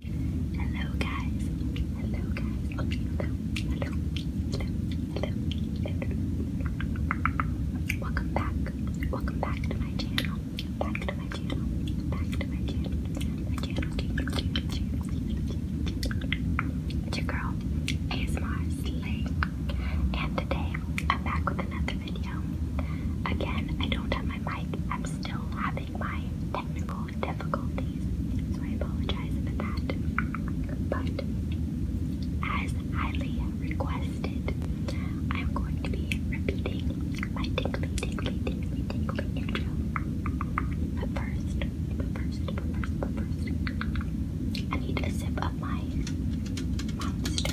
Hello guys. Hello guys. Oh, hello. Hello. Hello. Hello. Hello. Welcome back. Welcome back to my channel. Back to my channel. Back to my channel. My channel. channel, channel, channel. It's your girl, ASMR Slay. And today I'm back with another video. Again, I don't have my mic. I'm still my technical difficulties, so I apologize for that. But as highly requested, I'm going to be repeating my tingly, tingly, intro. But first, but first, but first, but first, I need a sip of my monster.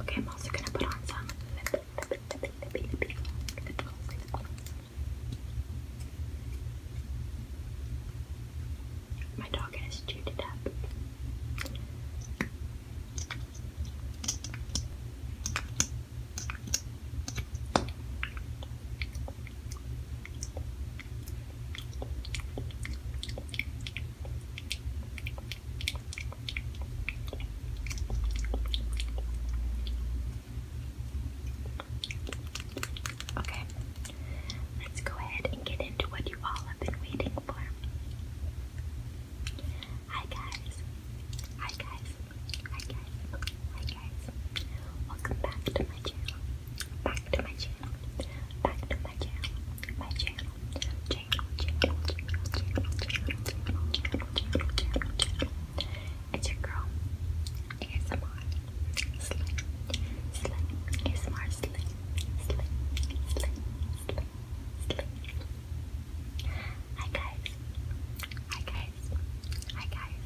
Okay, I'm also gonna put on some My dog has chewed it up. Okay, let's go ahead and get into what you all have been waiting for. Hi guys, hi guys, Hi guys, hi guys. Welcome back to my channel. Back to my channel. Back to my channel. My channel. Channel, channel, channel, channel, channel, channel, channel, channel, channel, channel. It's your girl. ASMR. Sling. Sling. ASMR sling. Sling. Sling. Sling. Sling. Hi guys. Hi guys guys, hi guys,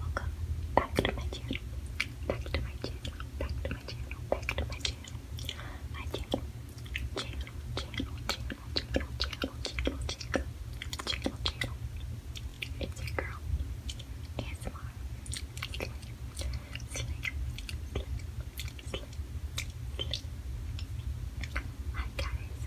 welcome back to my channel, back to my channel, back to my channel, back to my channel, my channel, channel, channel, channel, channel, channel, channel, channel, channel, channel, it's your girl, ASMR, slay, slay, slay, slay, slay, hi guys,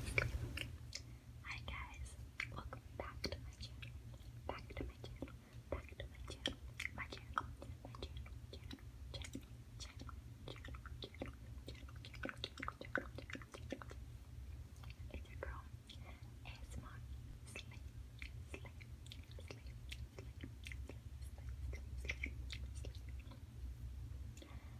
Hi guys, welcome back to my channel. Back to my channel. Back to my channel. My channel. My channel. Channel. Channel. Channel. Channel. Channel. Channel. Channel. Channel. Channel. Channel. It's your girl. ASMR. Slay. Slay. Slay. Slay. Slay. Slay. Slay. Slay. Slay.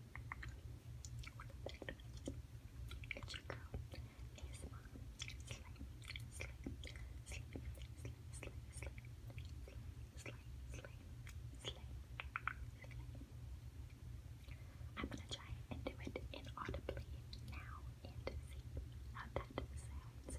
I'm gonna try and do it inaudibly now and see how that sounds.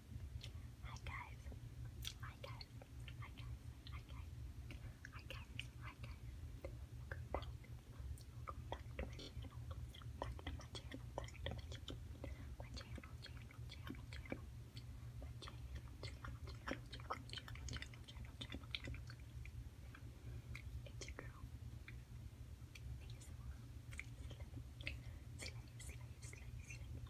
Hi guys. Hi guys. Hi guys. Hi guys. Hi guys. Hi guys. Welcome back. Welcome back to my channel. Back to my channel. Back to my channel. My channel, channel, channel, channel. My channel, channel, channel, channel, channel, channel, channel, channel, channel. It's your girl. ASMR. Slay, slay, slay, slay, slay.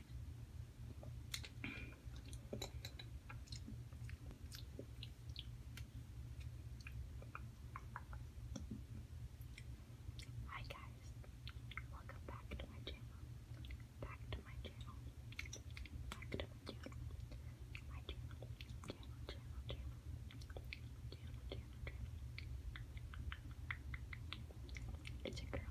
Hi guys, welcome back to my channel. Back to my channel. My channel. Channel, channel, channel. Channel, channel, channel. It's a girl.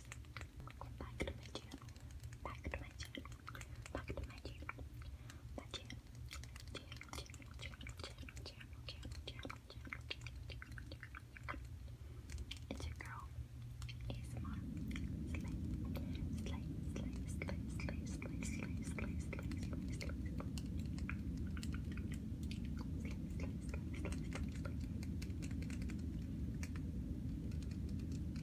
Back to my channel. Back to my channel. Back to my channel. My channel. Channel, channel, channel, channel, channel, channel, channel, channel, channel, channel, channel. It's your girl. ASMR. Slay. Slay, slay, slay, slay, slay, slay, slay, slay, slay, slay, slay. Slay, slay, slay, slay, slay, slay.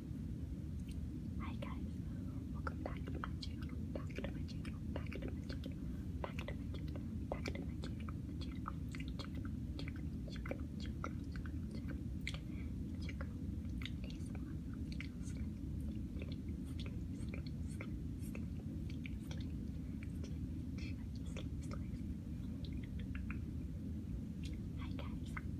Hi guys, welcome back to my channel, back to my channel, back to my channel, back to my channel, back to my channel, Hi guys,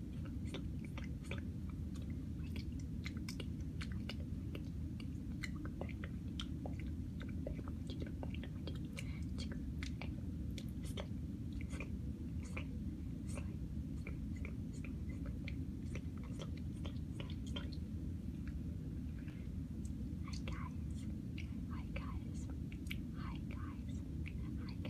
Hi guys. Hi guys. Hi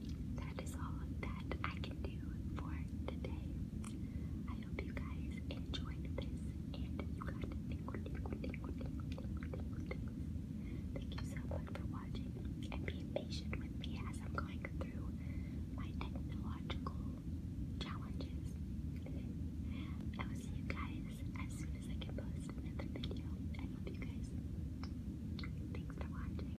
that is all that I can do for today. I hope you guys enjoyed this and you got tingle, Thank you so much for watching and being patient with me as I'm going through my technological challenges. I will see you guys as soon as I can post another video. I love you guys. Thanks for watching.